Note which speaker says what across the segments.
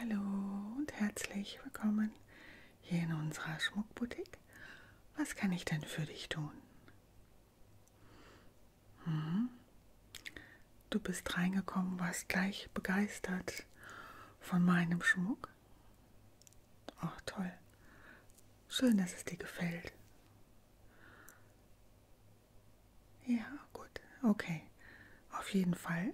Speaker 1: Hallo und herzlich willkommen hier in unserer Schmuckboutique. Was kann ich denn für dich tun? Hm? Du bist reingekommen, warst gleich begeistert von meinem Schmuck. Ach toll. Schön, dass es dir gefällt. Ja, gut, okay. Auf jeden Fall.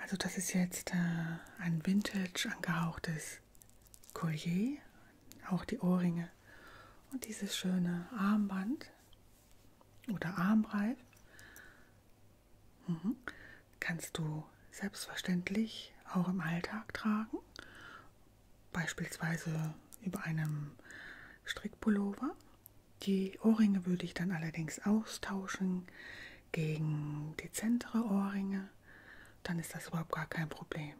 Speaker 1: Also das ist jetzt äh, ein vintage angehauchtes Collier, auch die Ohrringe und dieses schöne Armband oder Armreif. Mhm. Kannst du selbstverständlich auch im Alltag tragen, beispielsweise über einem Strickpullover die Ohrringe würde ich dann allerdings austauschen gegen dezentere Ohrringe. Dann ist das überhaupt gar kein Problem.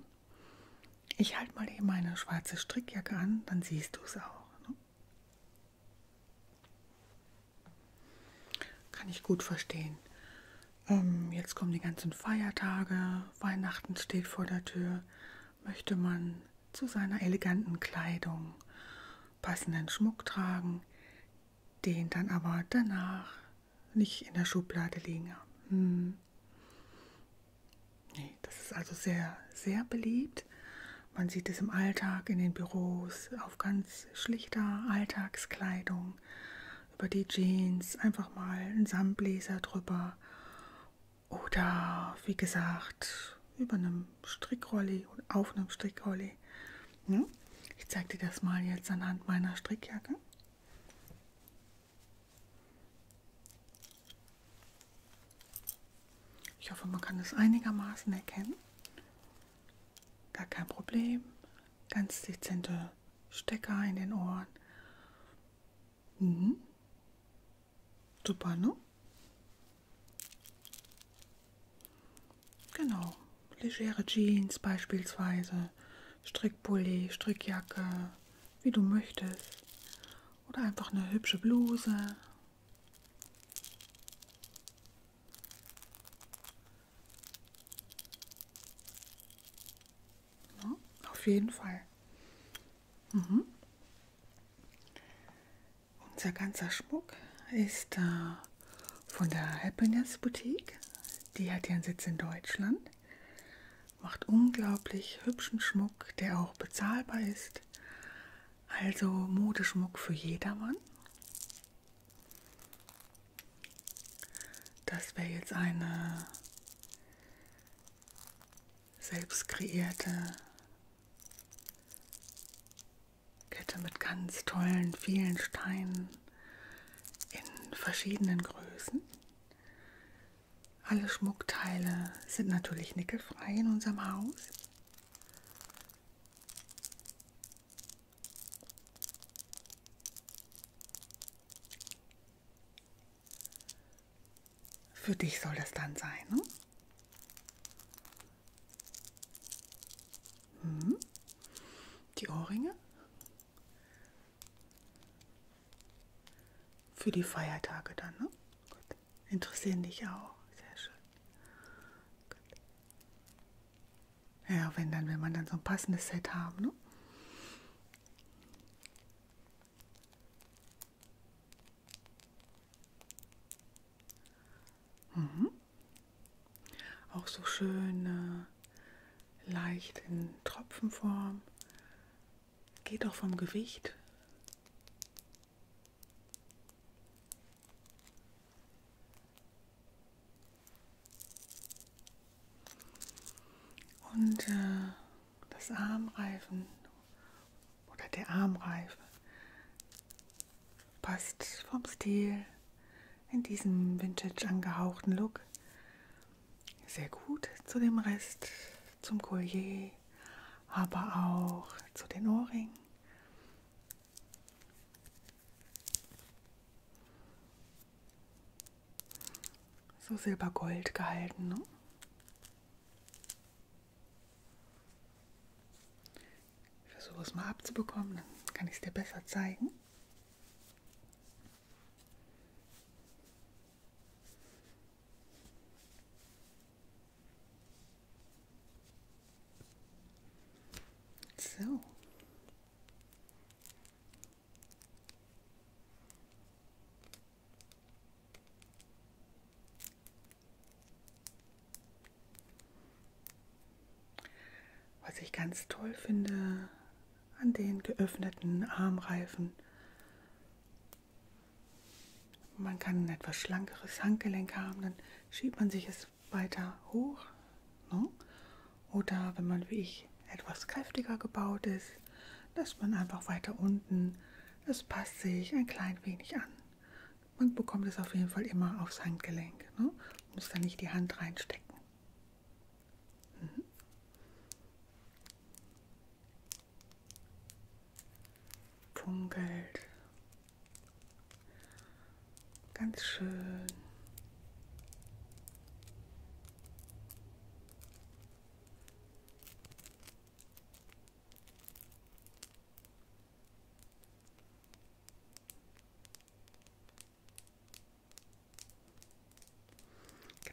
Speaker 1: Ich halte mal eben meine schwarze Strickjacke an, dann siehst du es auch. Ne? Kann ich gut verstehen. Ähm, jetzt kommen die ganzen Feiertage, Weihnachten steht vor der Tür. Möchte man zu seiner eleganten Kleidung passenden Schmuck tragen, den dann aber danach nicht in der Schublade liegen haben. Hm. Nee, das ist also sehr, sehr beliebt. Man sieht es im Alltag, in den Büros, auf ganz schlichter Alltagskleidung, über die Jeans, einfach mal einen Samtbläser drüber oder wie gesagt, über einem einem Strickrolli und auf einem Strickrolli. Hm? Ich zeige dir das mal jetzt anhand meiner Strickjacke. Ich hoffe, man kann es einigermaßen erkennen. Gar kein Problem. Ganz dezente Stecker in den Ohren. Mhm. Super, ne? Genau. Legere Jeans beispielsweise, Strickpulli, Strickjacke, wie du möchtest. Oder einfach eine hübsche Bluse. Ja, ne? auf jeden Fall. Mhm. Unser ganzer Schmuck ist äh, von der Happiness Boutique. Die hat ihren Sitz in Deutschland. Macht unglaublich hübschen Schmuck, der auch bezahlbar ist. Also Modeschmuck für jedermann. Das wäre jetzt eine selbst kreierte Kette mit ganz tollen, vielen Steinen in verschiedenen Größen. Alle Schmuckteile sind natürlich nickelfrei in unserem Haus. Für dich soll das dann sein. Ne? Mhm. Die Ohrringe. Für die Feiertage dann, ne? Gut. Interessieren dich auch. Sehr schön. Gut. Ja, wenn dann, wenn man dann so ein passendes Set haben, ne? Mhm. Auch so schön äh, leicht in Tropfenform. Geht auch vom Gewicht. Und äh, das Armreifen oder der Armreifen Passt vom Stil in diesem vintage angehauchten Look sehr gut zu dem Rest, zum Collier, aber auch zu den Ohrringen. So silbergold gehalten. Ne? Ich versuche es mal abzubekommen, dann kann ich es dir besser zeigen. So. Was ich ganz toll finde an den geöffneten Armreifen. Man kann ein etwas schlankeres Handgelenk haben, dann schiebt man sich es weiter hoch. Ne? Oder wenn man wie ich etwas kräftiger gebaut ist, lässt man einfach weiter unten. Es passt sich ein klein wenig an man bekommt es auf jeden Fall immer aufs Handgelenk. Ne? Muss da nicht die Hand reinstecken. Mhm. Funkelt. Ganz schön.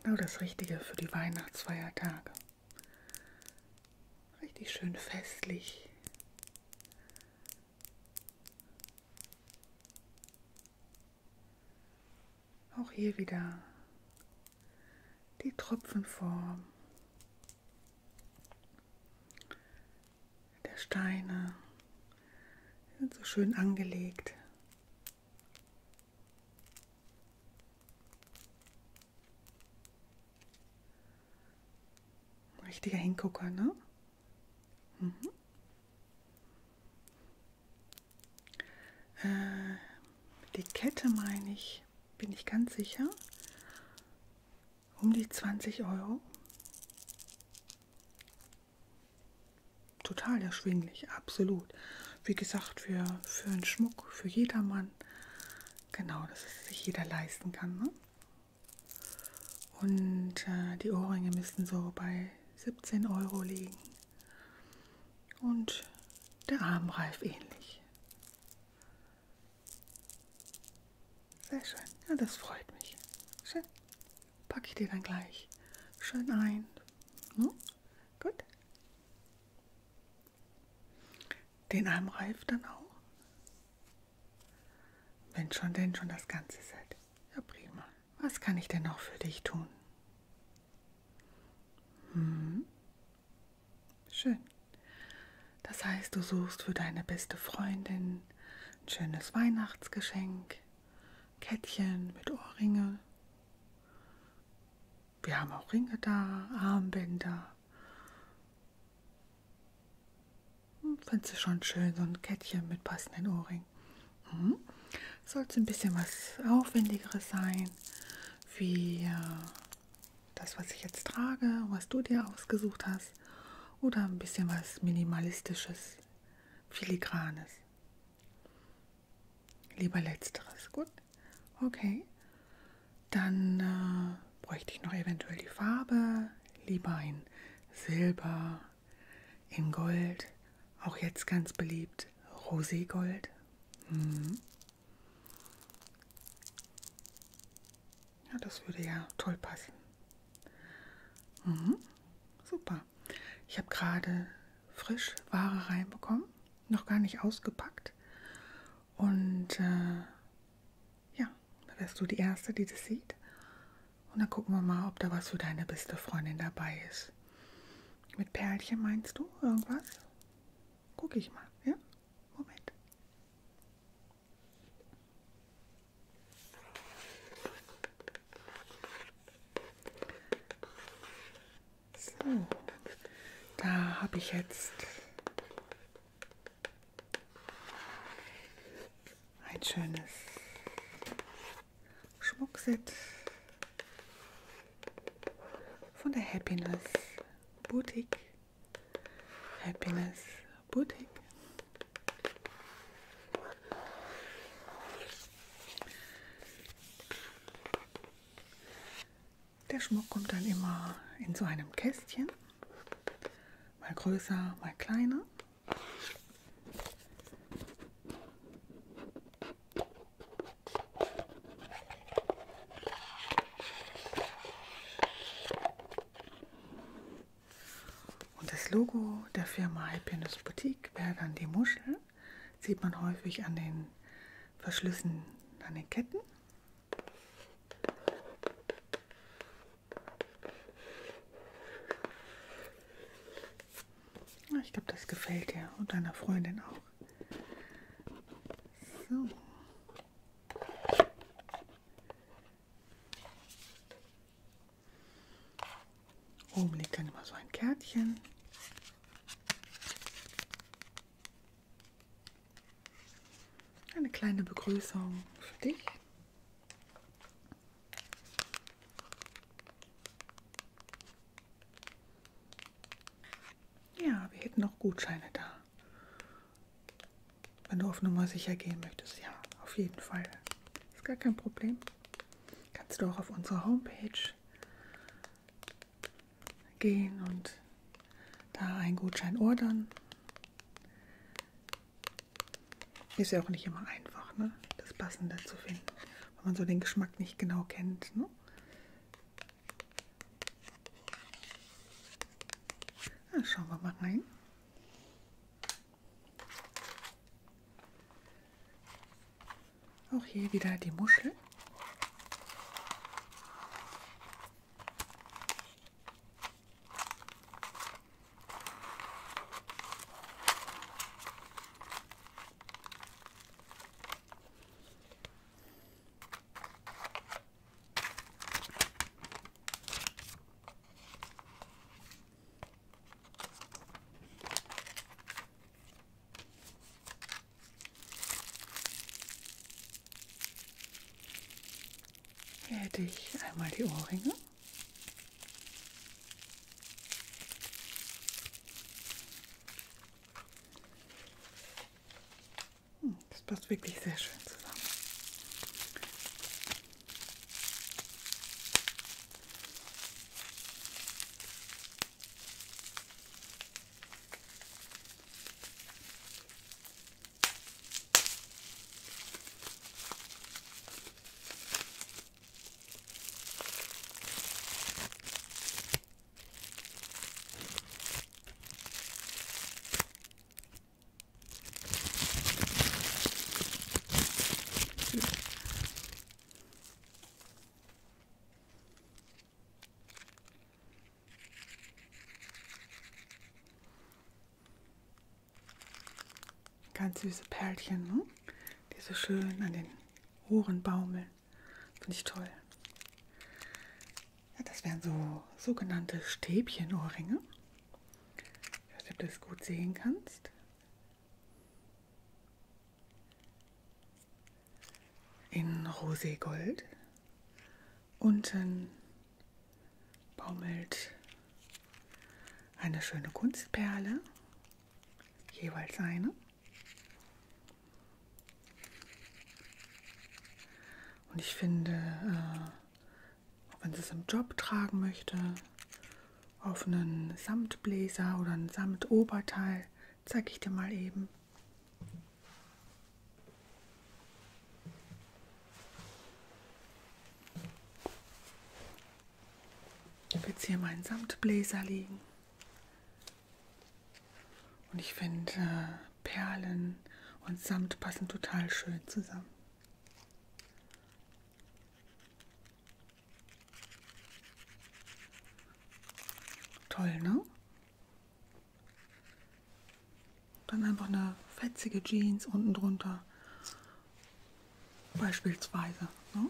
Speaker 1: Genau das Richtige für die Weihnachtsfeiertage. Richtig schön festlich. Auch hier wieder die Tropfenform der Steine sind so schön angelegt. Ein richtiger Hingucker, ne? Mhm. Äh, die Kette meine ich ich, bin ich ganz sicher. Um die 20 Euro. Total erschwinglich, absolut. Wie gesagt, für, für einen Schmuck, für jedermann. Genau, dass es sich jeder leisten kann. Ne? Und äh, die Ohrringe müssten so bei 17 Euro liegen. Und der Armreif ähnlich. Sehr schön. Ja, das freut mich. Schön. Packe ich dir dann gleich schön ein. Hm? Gut. Den Armreif dann auch. Wenn schon, denn schon das ganze Set. Ja, prima. Was kann ich denn noch für dich tun? Hm. Schön. Das heißt, du suchst für deine beste Freundin ein schönes Weihnachtsgeschenk, Kettchen mit Ohrringe. Wir haben auch Ringe da, Armbänder. Hm, findest du schon schön, so ein Kettchen mit passenden Ohrringen. Mhm. Sollte ein bisschen was Aufwendigeres sein, wie äh, das, was ich jetzt trage, was du dir ausgesucht hast, oder ein bisschen was Minimalistisches, Filigranes. Lieber letzteres, gut? Okay. Dann äh, bräuchte ich noch eventuell die Farbe, lieber in Silber, in Gold, auch jetzt ganz beliebt, Roségold. Mhm. Ja, das würde ja toll passen. Mhm, super. Ich habe gerade frisch Ware reinbekommen, noch gar nicht ausgepackt. Und äh, ja, da wärst du die Erste, die das sieht. Und dann gucken wir mal, ob da was für deine beste Freundin dabei ist. Mit Perlchen meinst du irgendwas? Guck ich mal, ja? Moment. So, da habe ich jetzt ein schönes Schmuckset von der Happiness Boutique. Happiness Boutique. Der Schmuck kommt dann immer in so einem Kästchen, mal größer, mal kleiner. Und das Logo der Firma Happiness Boutique wäre dann die Muschel. Sieht man häufig an den Verschlüssen an den Ketten. Ich glaube, das gefällt dir und deiner Freundin auch. So. Oben liegt dann immer so ein Kärtchen. Eine kleine Begrüßung für dich. Ja, wir hätten noch Gutscheine da. Wenn du auf Nummer sicher gehen möchtest, ja, auf jeden Fall. Ist gar kein Problem. Kannst du auch auf unsere Homepage gehen und da einen Gutschein ordern. Ist ja auch nicht immer einfach, ne? das Passende zu finden, wenn man so den Geschmack nicht genau kennt. Ne? Na, schauen wir mal rein. Auch hier wieder die Muschel. Hier hätte ich einmal die Ohrringe. Das passt wirklich sehr schön zusammen. Ganz süße Perlchen, ne? die so schön an den Ohren baumeln. Finde ich toll. Ja, das wären so sogenannte Stäbchenohrringe. Ich weiß nicht, ob du es gut sehen kannst. In Roségold. Unten baumelt eine schöne Kunstperle, jeweils eine. Und ich finde, äh, auch wenn sie es im Job tragen möchte, auf einen Samtbläser oder ein Samtoberteil, zeige ich dir mal eben. Ich habe jetzt hier meinen Samtbläser liegen. Und ich finde äh, Perlen und Samt passen total schön zusammen. Toll, ne? Dann einfach eine fetzige Jeans unten drunter. Beispielsweise. Ne?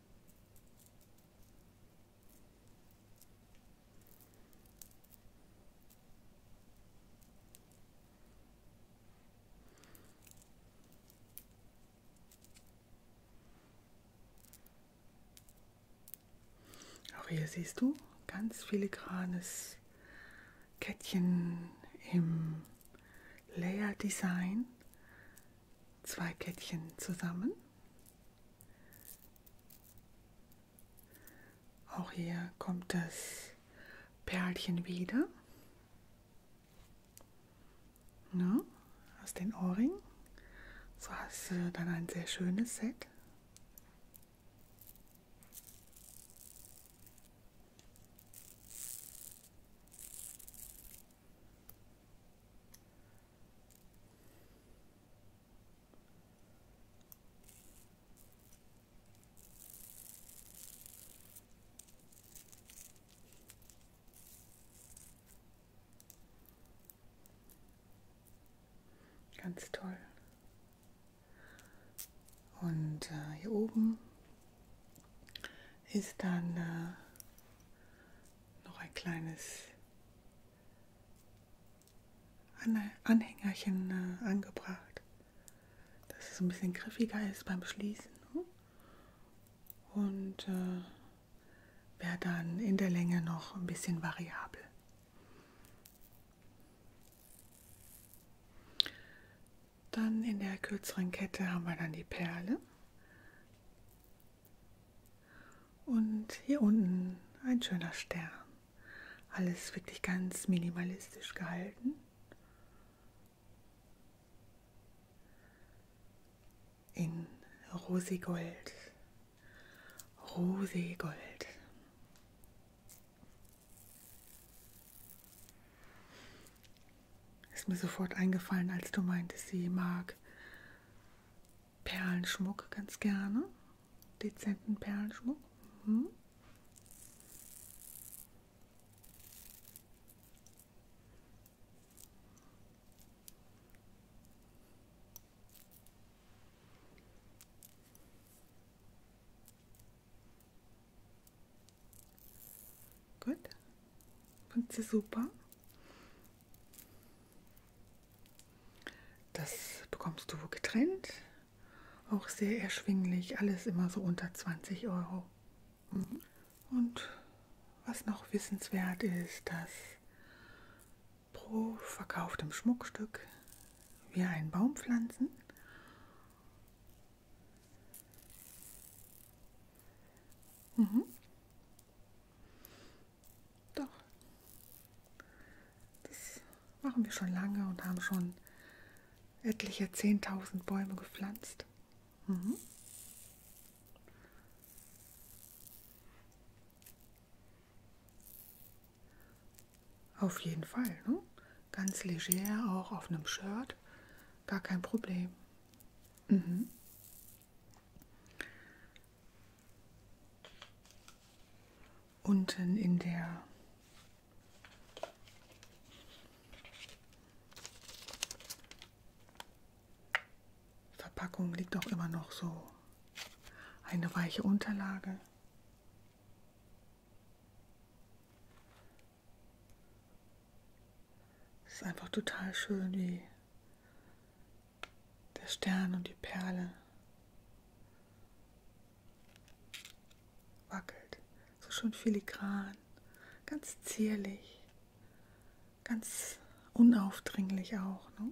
Speaker 1: Auch hier siehst du ganz filigranes Kettchen im Layer Design zwei Kettchen zusammen. Auch hier kommt das Perlchen wieder. Ja, aus den Ohrringen. So hast du dann ein sehr schönes Set. Ganz toll. Und äh, hier oben ist dann äh, noch ein kleines Anhängerchen äh, angebracht, dass es ein bisschen griffiger ist beim Schließen. Ne? Und äh, wäre dann in der Länge noch ein bisschen variabel. Dann in der kürzeren Kette haben wir dann die Perle. Und hier unten ein schöner Stern. Alles wirklich ganz minimalistisch gehalten. In Rosigold. Rosigold. Ist mir sofort eingefallen, als du meintest, sie mag Perlenschmuck ganz gerne. Dezenten Perlenschmuck. Mhm. Gut. Fand sie super. Das bekommst du getrennt. Auch sehr erschwinglich. Alles immer so unter 20 Euro. Mhm. Und was noch wissenswert ist, dass pro verkauftem Schmuckstück wir einen Baum pflanzen. Mhm. Doch. Das machen wir schon lange und haben schon etliche 10.000 Bäume gepflanzt. Mhm. Auf jeden Fall. Ne? Ganz leger, auch auf einem Shirt. Gar kein Problem. Mhm. Unten in der Verpackung liegt auch immer noch so eine weiche Unterlage. Es ist einfach total schön, wie der Stern und die Perle wackelt. So schön filigran, ganz zierlich, ganz unaufdringlich auch. Ne?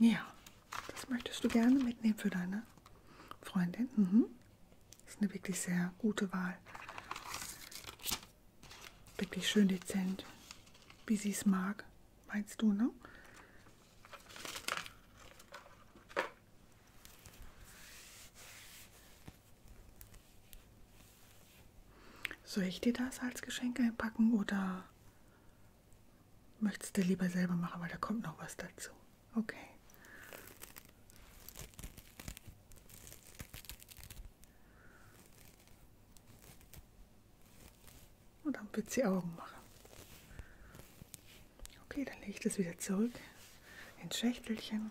Speaker 1: Ja, das möchtest du gerne mitnehmen für deine Freundin. Mhm. Das ist eine wirklich sehr gute Wahl. Wirklich schön dezent, wie sie es mag, meinst du, ne? Soll ich dir das als Geschenk einpacken oder möchtest du lieber selber machen, weil da kommt noch was dazu? Okay. Und dann wird sie Augen machen. Okay, dann lege ich das wieder zurück ins Schächtelchen.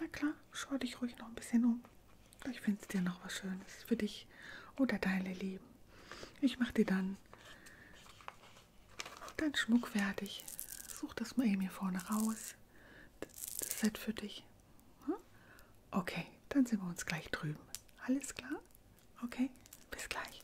Speaker 1: Na klar, schau dich ruhig noch ein bisschen um. Ich finde dir noch was Schönes für dich oder deine Lieben. Ich mache dir dann deinen Schmuck fertig. Such das mal eben hier vorne raus. Das Set für dich. Hm? Okay, dann sehen wir uns gleich drüben. Alles klar? Okay, bis gleich.